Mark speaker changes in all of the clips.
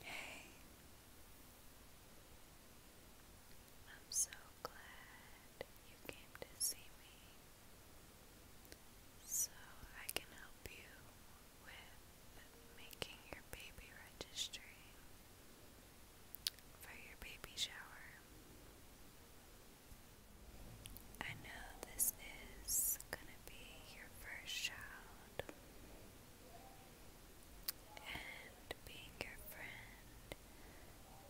Speaker 1: Hey, I'm so glad you came to see me so I can help you with making your baby registry for your baby shower. I know this is gonna be your first child, and being your friend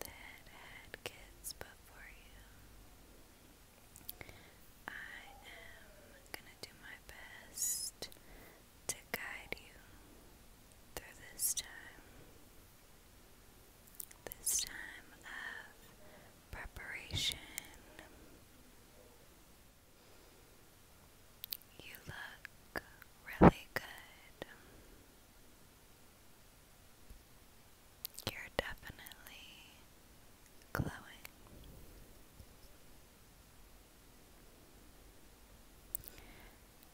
Speaker 1: that had kids before you, I am gonna do my best to guide you through this time. This time of preparation. You look really good. You're definitely glowing.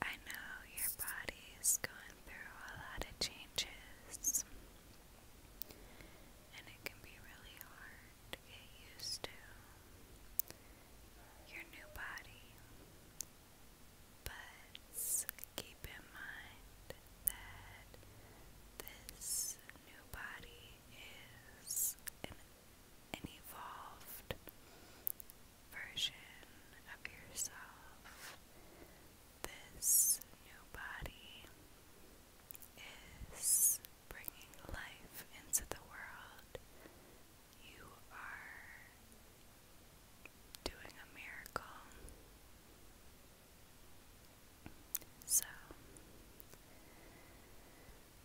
Speaker 1: I know your body's going through a lot of changes. And it can be really hard to get used to your new body. But keep in mind that this new body is an, evolved version of yourself this new body is bringing life into the world. You are doing a miracle. So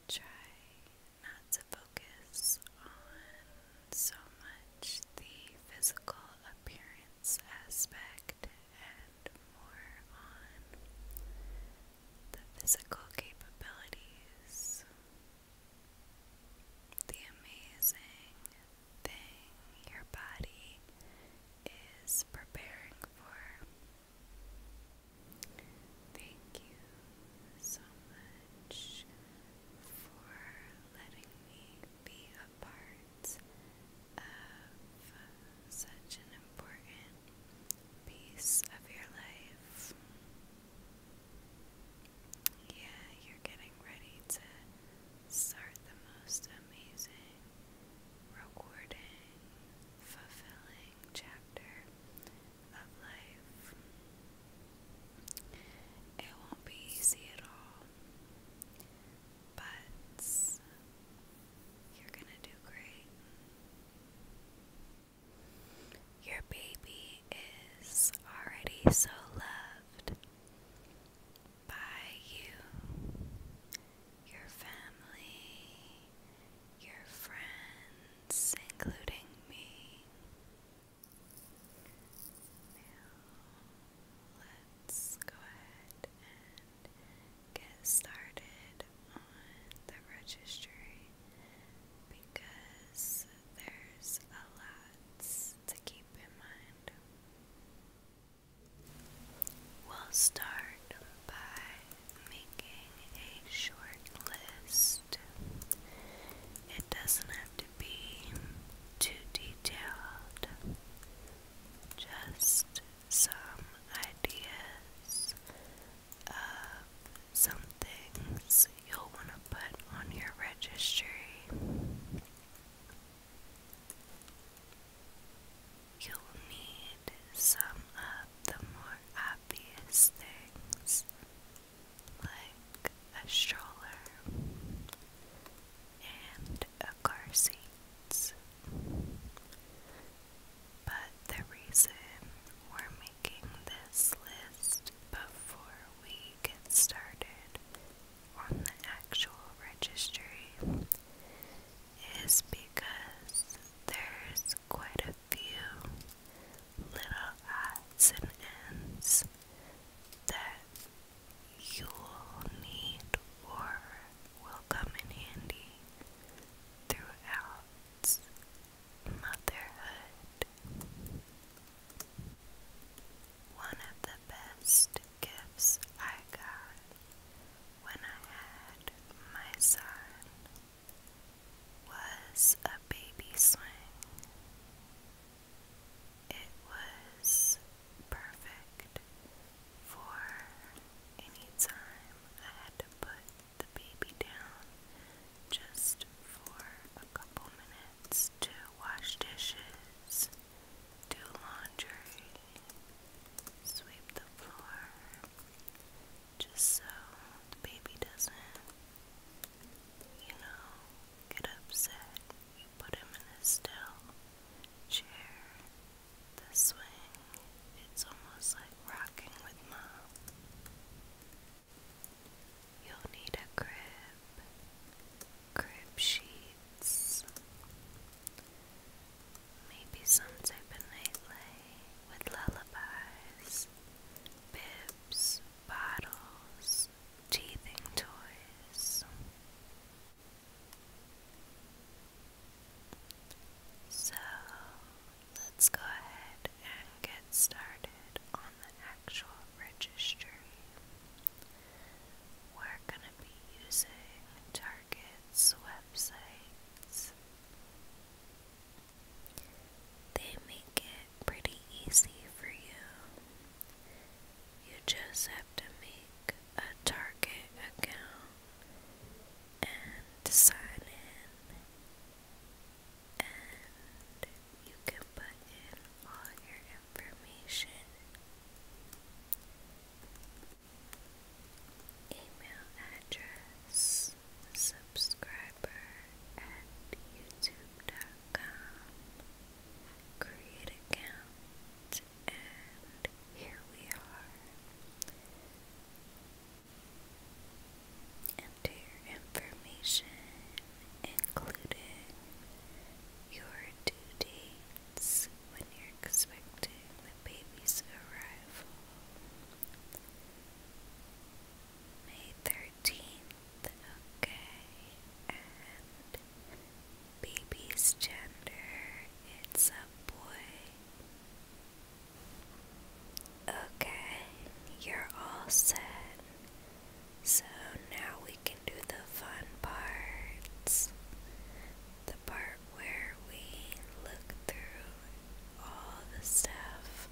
Speaker 1: try not to focus on so much the physical appearance aspect and more on the physical capabilities. The amazing thing your body is preparing for. Thank you so much for letting me be part of such an important piece of your life. Yeah, you're getting ready to start the most amazing, rewarding, fulfilling chapter of life. It won't be easy at all but you're gonna do great. Your baby is already so loved by you, your family, your friends, including me. Now, let's go ahead and get started on the registry because there's a lot to keep in mind. We'll start by making a short list. It doesn't have to be too detailed just some ideas of some things you'll want to put on your registry. You'll need some of the more obvious things, like a stroller and a car seats. But the reason we're making this list before we get started on the actual registry is because there's quite a few little odds and ends that you'll need or will come in handy throughout motherhood. One of the best gifts I got when I had my son was a baby swing. It was perfect for any time I had to put the baby down just for a couple minutes to wash dishes, do laundry, sweep the floor, just so the baby doesn't, you know, get upset. Put him in a still chair. The swing, it's almost like rocking with mom. You'll need a crib, crib sheets, maybe some type of nightlay with lullabies, bibs, bottles, teething toys. So let's go ahead and get started on the actual registry. We're going to be using Target's websites. They make it pretty easy for you you just have to make a Target account and sign in, and you can put in all your information. Email address subscriber at youtube.com create account it, and here we are. Enter your information, including your due dates when you're expecting the baby's arrival. May 13th, okay, Baby's gender, it's a boy. Okay, you're all set. So now we can do the fun parts. The part where we look through all the stuff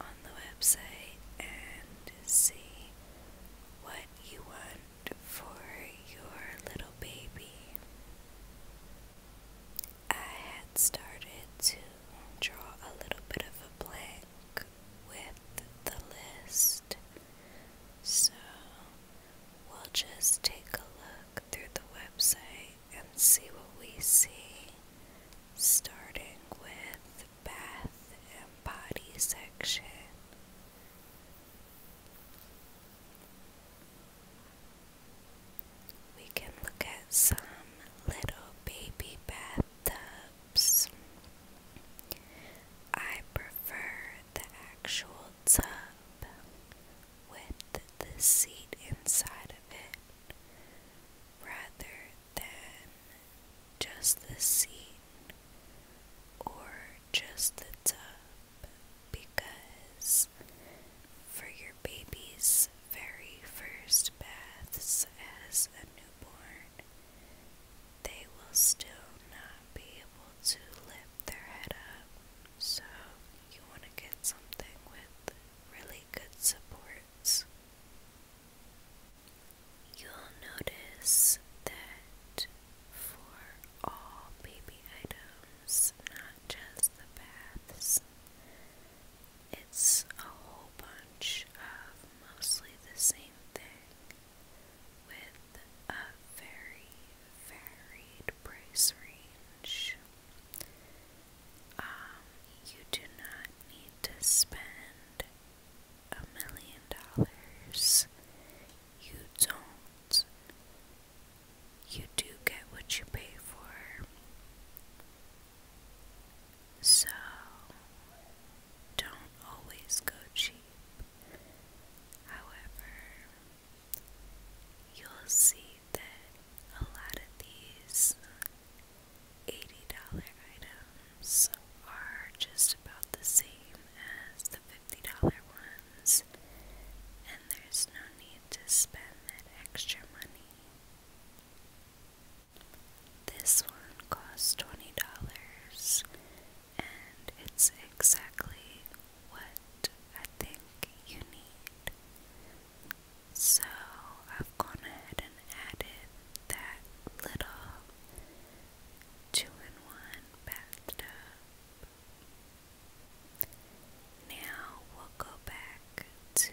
Speaker 1: on the website and see what you won for your little baby. I had started to draw a little bit of a blank with the list, so we'll just take a look through the website and see what we see, starting with bath and body section. We can look at some little baby bathtubs. I prefer the actual tub with the seat inside of it rather than just the seat, or just the tub because for your baby's very first baths as a newborn, they will still not be able to lift their head up. So, you want to get something with really good supports. You'll notice that for all baby items, not just the baths, it's a whole bunch of mostly the same thing with a very varied price range. Um, you do not need to spend a million dollars, you don't. You do get what you pay for. So, don't always go cheap. However, you'll see that a lot of these $80 items so are just about the same as the $50 ones, and there's no need to spend that extra money. This one costs $20 and it's exactly what I think you need. So I've gone ahead and added that little two and one bathtub. Now we'll go back to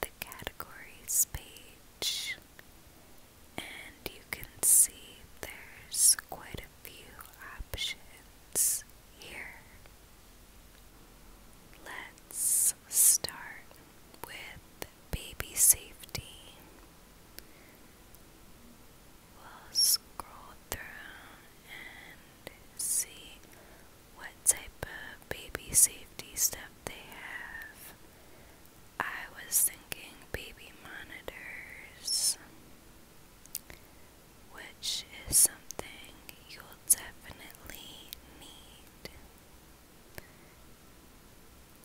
Speaker 1: the categories page, and you can see there's quite a few options here. Let's start with baby safety. We'll scroll through and see what type of baby safety stuff they have. I was thinking baby monitors, which is something you'll definitely need.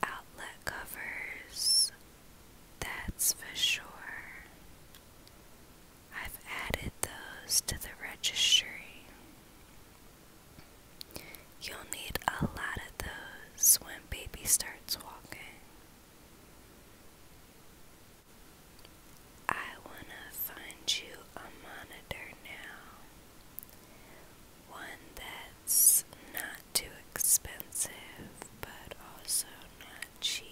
Speaker 1: Outlet covers, that's for sure. I've added those to the registry. You'll need a lot of those when baby starts walking. I want to find you a monitor now one that's not too expensive but also not cheap.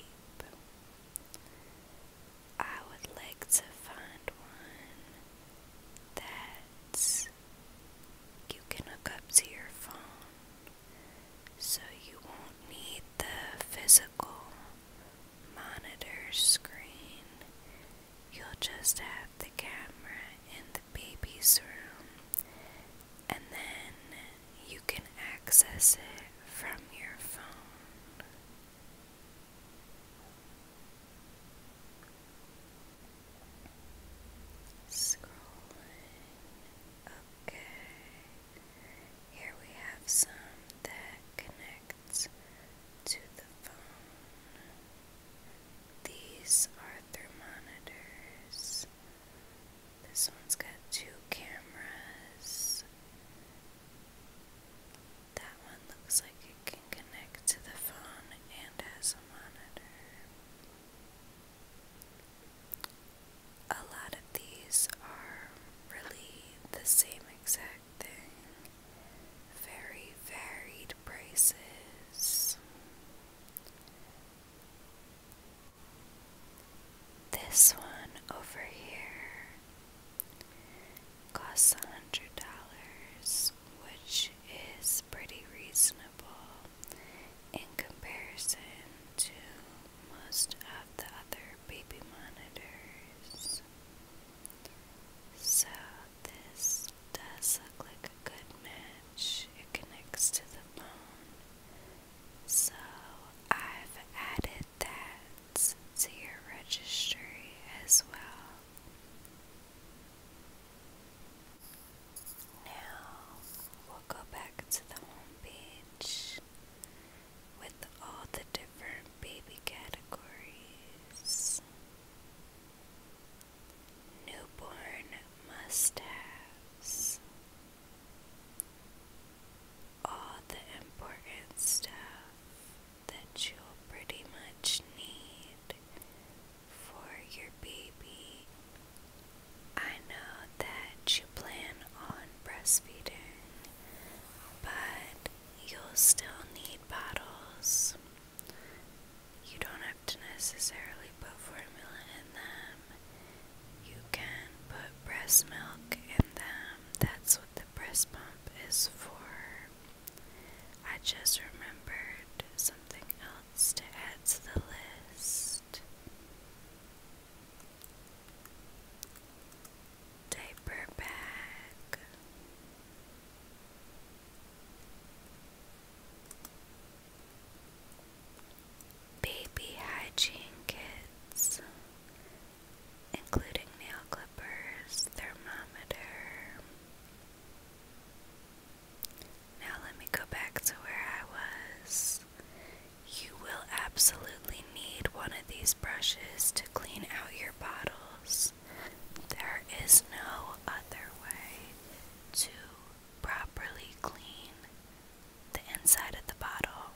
Speaker 1: I would like to find one that you can hook up to your phone so you won't need the physical monitor screen. You'll just have the camera in the baby's room and then you can access it from your phone. Scrolling. Okay. Here we have some that connects to the phone. These are thermometers. This one's got two cameras. That one looks like it can connect to the phone and has a monitor. A lot of these are really the same exact thing. Very varied prices. This one over here costs a hundred dollars, which is pretty reasonable in comparison to most of the other baby monitors. So, this does look like a good match. It connects to the phone. So I've added that to your registry as well. Now we'll go back to the home page with all the different baby categories. Newborn mustaches. All the important stuff that you'll pretty much need for your baby. I know that you plan on breastfeeding, but you'll still need bottles. You don't have to necessarily put formula in them. You can put breast milk in them. That's what the breast pump is for. I just remembered something else to add to the list. Diaper bag. Baby hygiene kits, including nail clippers, thermometer. Now, let me go back to where I was. You will absolutely need one of these brushes to clean out your bottles. There is no other way to properly clean the inside of the bottle.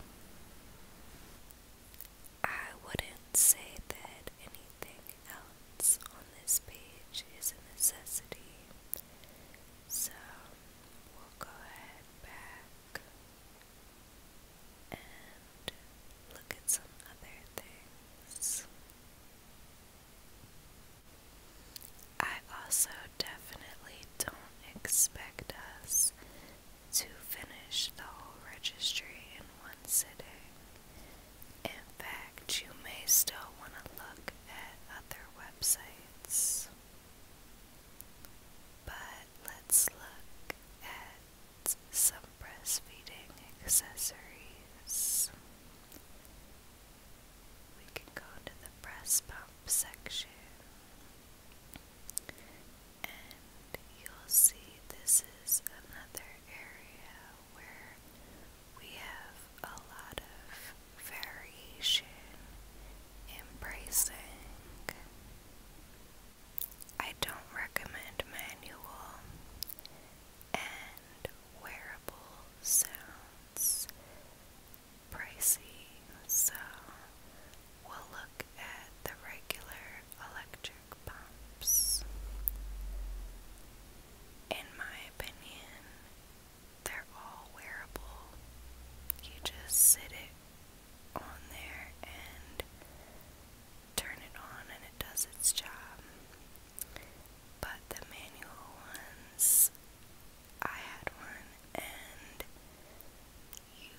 Speaker 1: I wouldn't say that anything else on this page is a necessity, so we'll go ahead back and look at some other things. I also definitely don't expect us to finish the whole registry in one sitting. In fact, you may still want to look at other websites. But let's look at some breastfeeding accessories. We can go into the breast pump section, and you'll see this is another area where we have a lot of variation in bracing. I don't recommend manual and wearable sounds pricey, so we'll look at the regular electric pumps. In my opinion, they're all wearable. You just sit it on there and turn it on, and it does its job but the manual ones, I had one, and you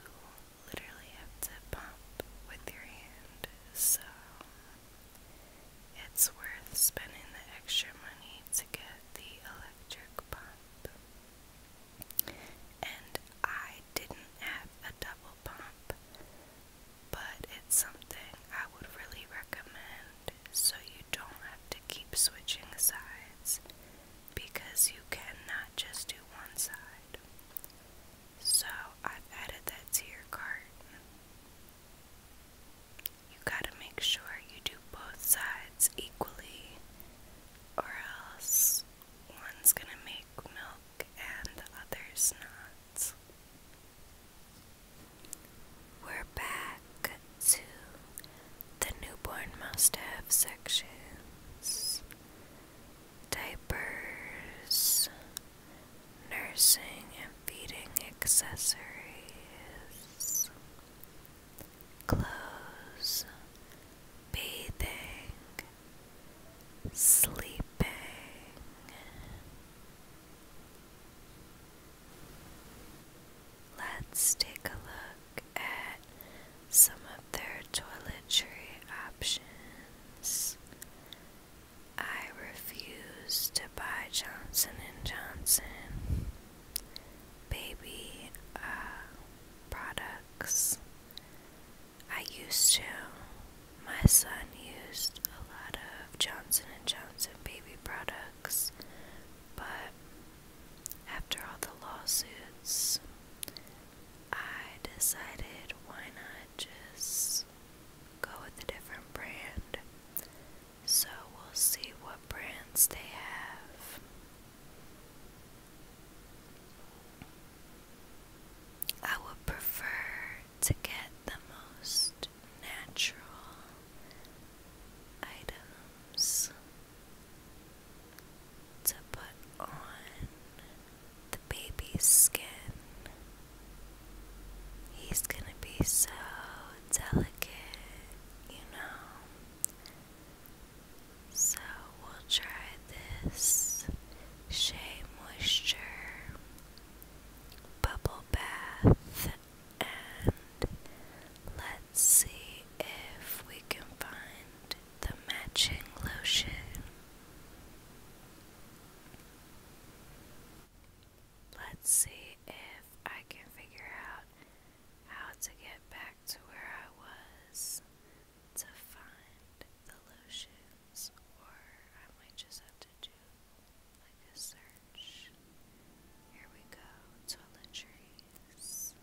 Speaker 1: literally have to pump with your hand, so it's worth spending the extra money to get the electric pump. And I didn't have a double pump, but it's something I would really recommend so you don't have to keep switching sides because you cannot just do one side. So I've added that to your cart. You gotta make sure you do both sides equally, or else one's gonna make milk and the other's not. We're back to the newborn must have sections diapers, nursing and feeding accessories, clothes, bathing, sleeping. Let's take a look at some of their toiletry options. I refuse to buy Johnson and Johnson baby uh, products. I used to, my son used a lot of Johnson and Johnson baby products, but after all the lawsuits, I decided why not just go with a different brand. So we'll see what brands they have. I would prefer to get the most natural items to put on the baby's skin. He's gonna be so delicate, you know. So we'll try this Shea Moisture bubble bath, and let's see if we can find the matching lotion. Let's see if I can figure out how to get back to where I was to find the lotions, or I might just have to do like a search. Here we go, toiletries.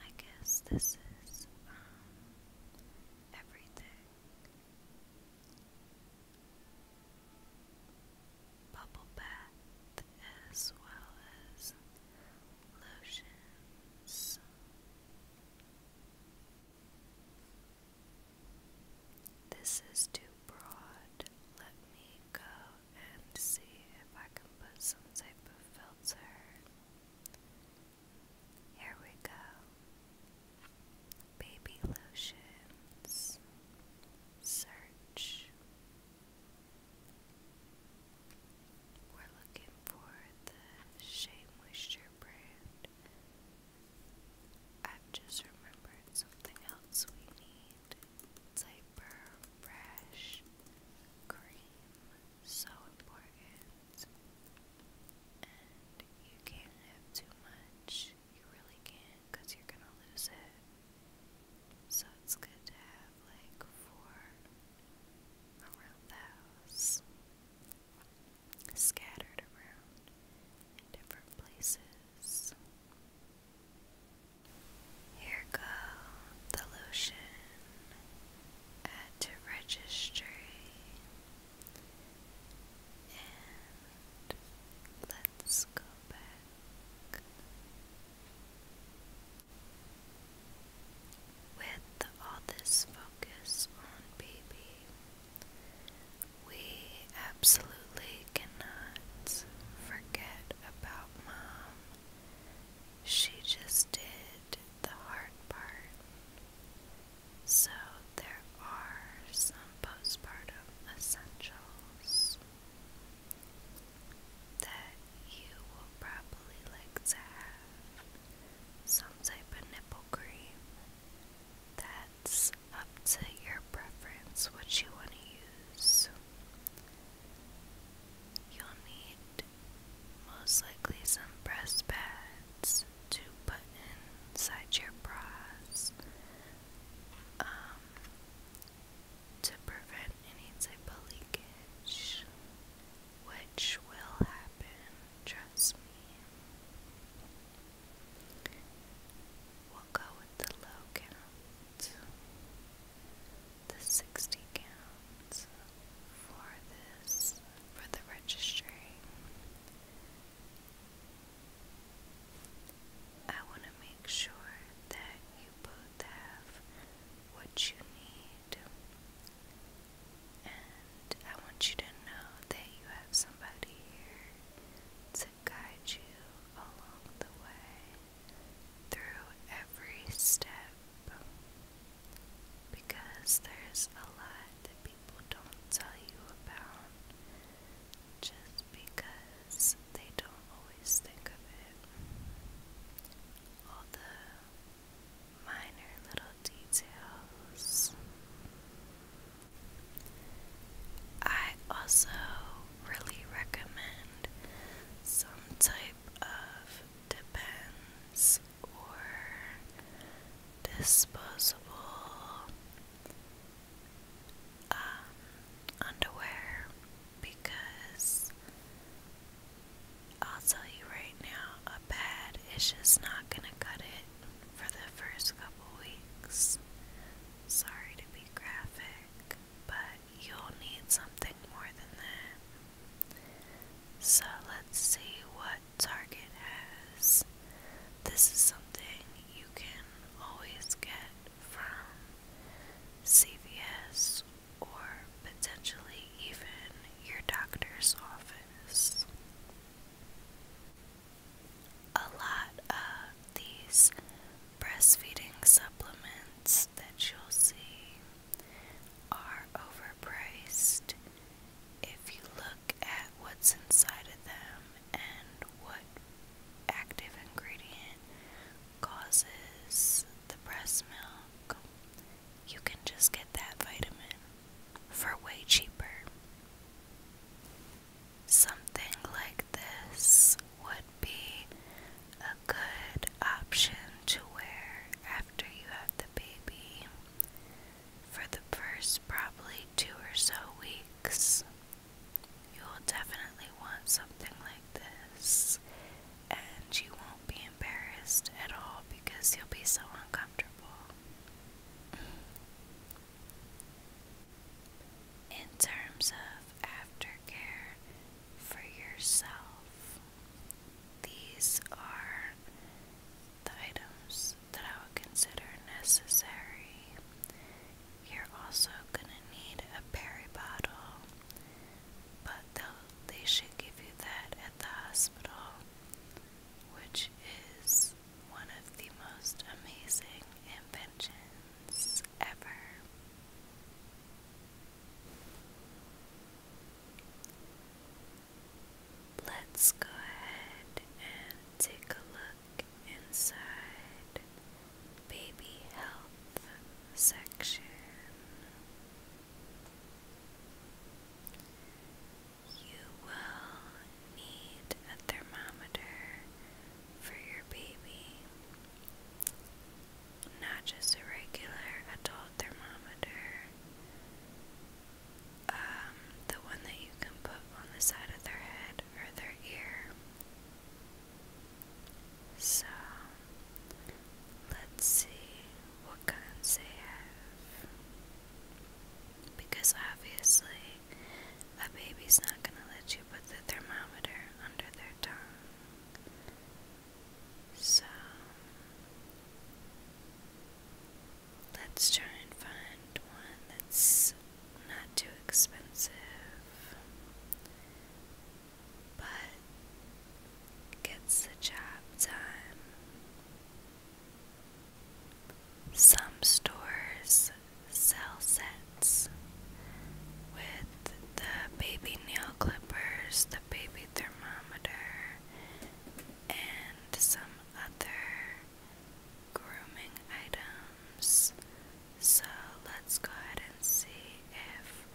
Speaker 1: I guess this is um, everything. Bubble bath as well as lotions. This is too broad. Let me go and see if I can put some type of filter. Here we go. Baby lotions. Search. We're looking for the Shea Moisture brand. I've just remembered something else we need. It's hyper cream. So important. And you can't have too much. You really can't because you're gonna lose it. So it's good to have like four around the house scattered around in different places. Here go the lotion. Add to registry and let's go back. With all this focus on baby, we absolutely cannot forget about mom. She just did the hard part. So there are some postpartum essentials that you will probably like to have some type of nipple cream. That's up to your preference what you want to use. You'll need most likely some breast pads to put inside your bras um, to prevent any type of leakage, which will happen happen, trust me. We'll go with the low count, the 60 count for this, for the registry. I want to make sure that you both have what you need and I want you to know that you have somebody here to guide you along the way through every step because there's a lot that people don't tell you about just because they don't always think of it. All the minor little details. I also really recommend some type of depends or disposable um, underwear because I'll tell you right now, a pad is just not gonna cut it for the first couple weeks. Sorry to be graphic, but you'll need something more than that. So let's see what Target has. This is something you can always get from CVS or potentially even your doctor's office. A lot of these breastfeeding supplements that you'll see are overpriced if you look at what's inside of them and what active ingredient causes the breast milk you can just get that vitamin for way cheaper. Something like this would be a good option to wear after you have the baby for the first probably two or so weeks. You'll definitely want something like this and you won't be embarrassed at all because you'll be so uncomfortable. In terms of aftercare for yourself, these are the items that I would consider necessary. You're also going to need a peri bottle, but they should give you that the hospital, which is one of the most amazing inventions ever. Let's go ahead and take a look inside Baby Health section. You will need a thermometer for your baby, not just a regular adult thermometer, um, the one that you can put on the side of their head or their ear. So, Let's see what kinds they have. Because obviously, a baby's not going to let you put the thermometer under their tongue. So, let's try and find one that's not too expensive but gets the job done. Some stores sell sets with the baby nail clippers, the baby thermometer, and some other grooming items. So let's go ahead and see if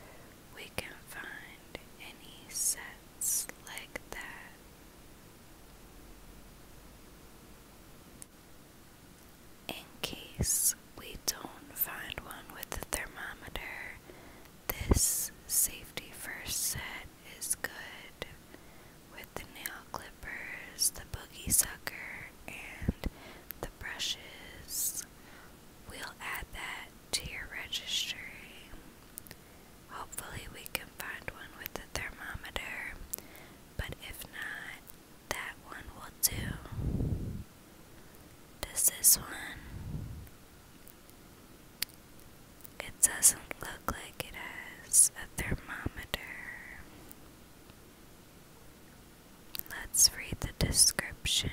Speaker 1: we can find any sets like that. In case we don't find one with the thermometer, this safety first set is good with the nail clippers, the boogie sucker, and the brushes. We'll add that to your registry. Hopefully, we can find one with a thermometer, but if not, that one will do. Does this one? It doesn't look like it has a thermometer. Let's read the description.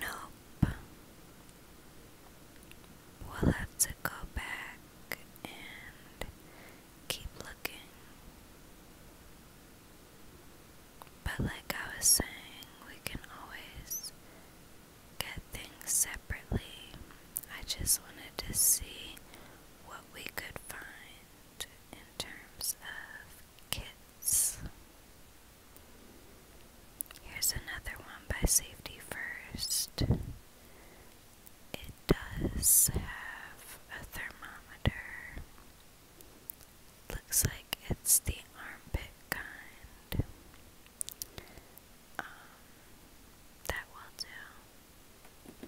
Speaker 1: Nope. We'll have to go back and keep looking. But, like I was saying, we can always get things separately. I just wanted to see what we could find in terms of kits. Here's another one by Safety First. It does have a thermometer. Looks like it's the armpit kind. Um, that will do.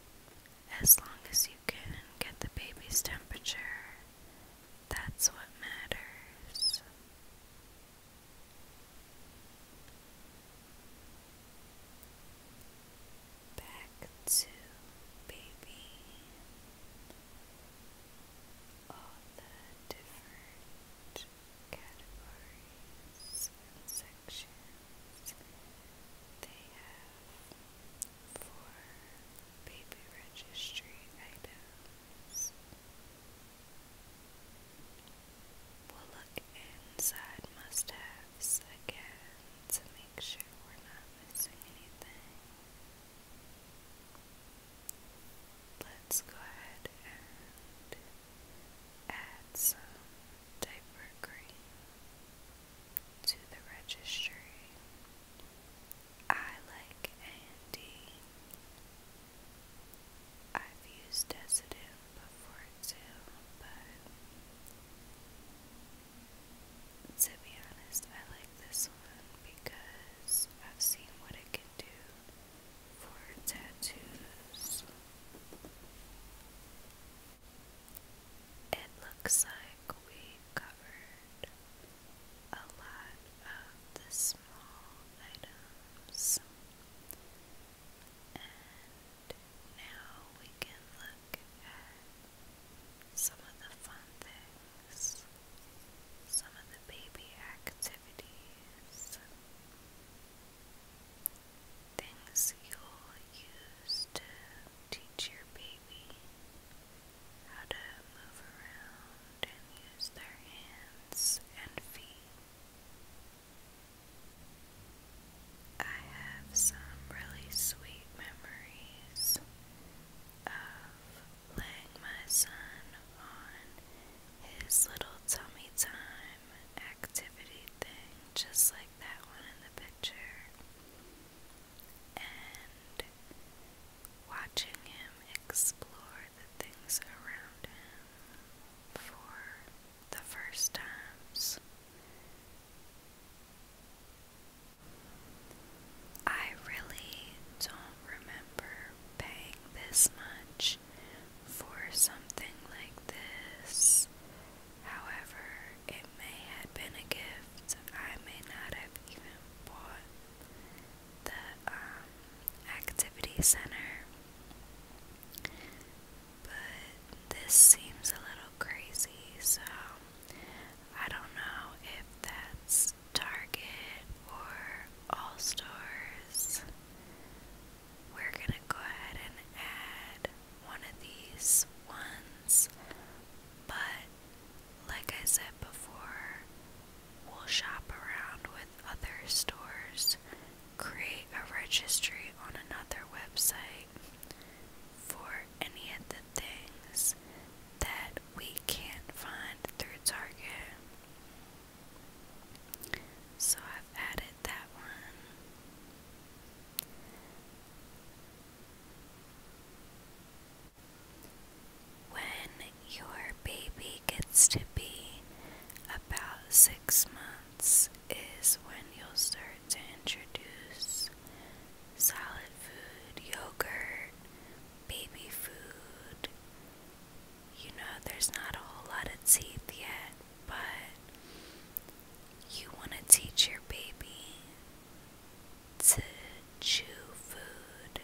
Speaker 1: As long as you can get the baby's temperature, that's what matters. Back to baby. All the different categories sections because they have four baby registry items. We'll look inside must haves again to make sure we're not missing anything. Let's go ahead and add some diaper cream to the registry. I like Andy. I've used Decident before too, but to be honest, I like this one because I've seen what it can do for tattoos. It looks like we have covered a lot of the small items, and now we can look at some of the fun things, some of the baby activities things you'll use to teach your baby how to move around and use their hands and feet. I have some really sweet memories of laying my son on his little tummy time activity thing, just like that one in the picture and watching him explore the things around him for the first times. I really don't remember paying this much for something like this. However, it may have been a gift. I may not have even bought the um, activity center. But this seems a little crazy, so I don't know if that's Target or All Stores. We're gonna go ahead and add one of these ones, but like I said before, we'll shop around with other stores, create a registry on another website for any of the things that we can't find through Target. So I've added that one. When your baby gets to be about six months, is when you'll start to introduce solid food, yogurt, baby food. You know, there's not a whole lot of teeth yet, but you want to teach your baby to chew food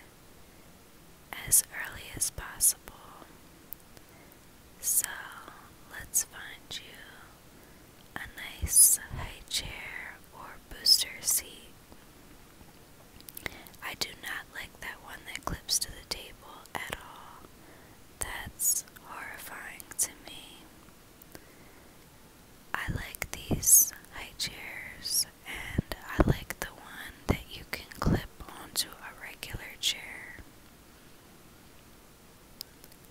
Speaker 1: as early as possible. So let's find you a nice high chair or booster seat. I do not like that one that clips to the table at all. That's horrifying to me. I like these high chairs, and I like the one that you can clip onto a regular chair.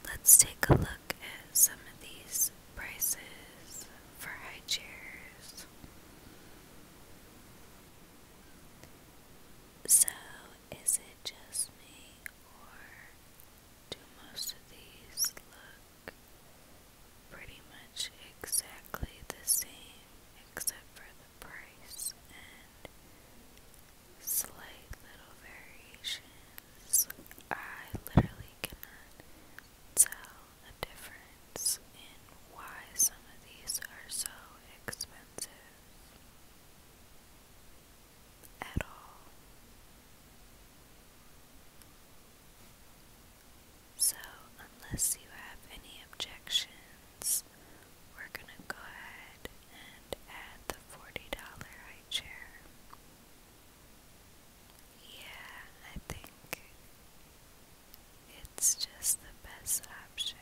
Speaker 1: Let's take a look at some of these prices for high chairs. So, is it just me, or do most of these look pretty much exactly the same except for the price and slight little variations? I literally cannot tell a difference in why some of these are so expensive at all. So, unless you have any objections, we're going to go ahead and add the $40 high chair. Yeah, I think it's just the best option.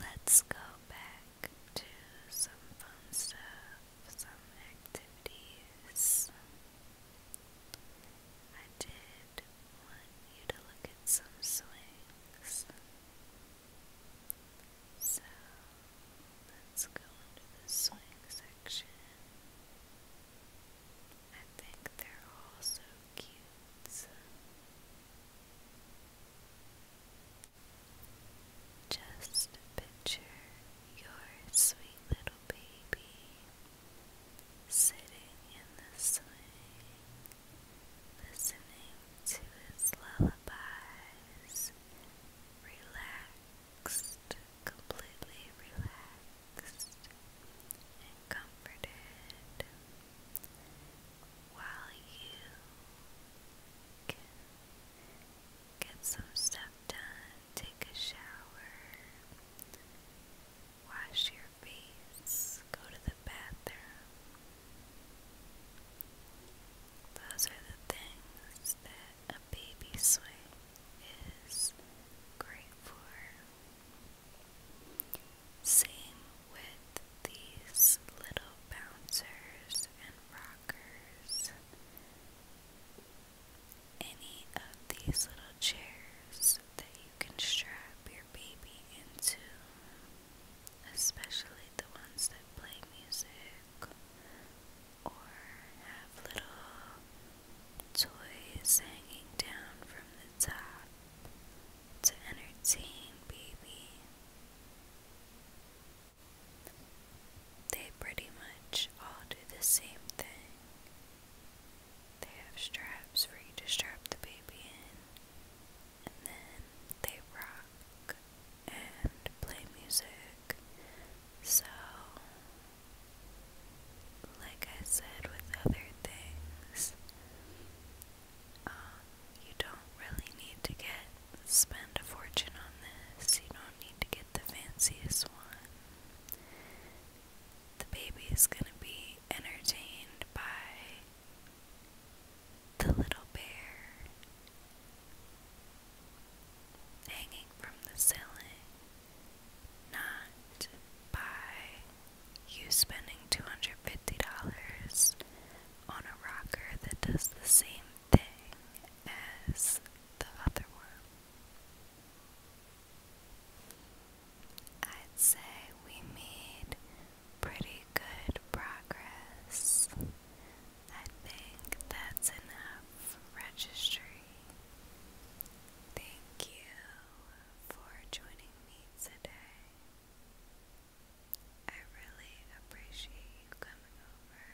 Speaker 1: Let's go back to some fun stuff, some activities. I did want you to look at some swings. So let's go into the swing section. I think they're all cute. Just picture your sweet little baby sitting in the swing, listening to his lullabies, relaxed, completely relaxed and comforted while you can get some stuff done, take a shower, wash your face, go to the bathroom. Those are the things that a baby swing is great for. Same with these little bouncers and rockers. Any of these little chairs that you can strap your baby into, especially the ones that play music or have little toys hanging down from the top to entertain, baby. They pretty much all do the same thing. They have straps for you to strap the baby in, and then they rock and play music. So, like I said with other things, um, you don't really need to get spend a fortune on this. You don't need to get the fanciest one. The baby is gonna be entertained by the little bear hanging from the ceiling, not by you spending $250 on a rocker that does the same thing as the other one. I'd say we made pretty good progress. I think that's enough for registry. Thank you for joining me today. I really appreciate coming over,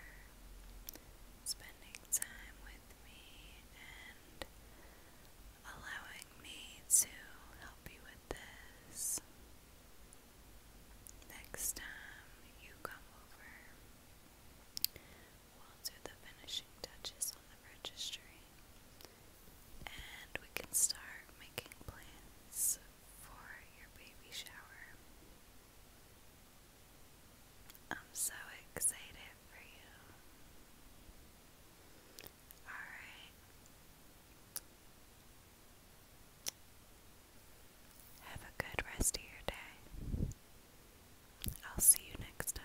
Speaker 1: spending time with me, and allowing me to help you with this. Next time you come over, we'll do the finishing touches on the registry and we can start making plans for your baby shower. I'm so excited for you. Alright. Have a good rest of your day. I'll see you next time.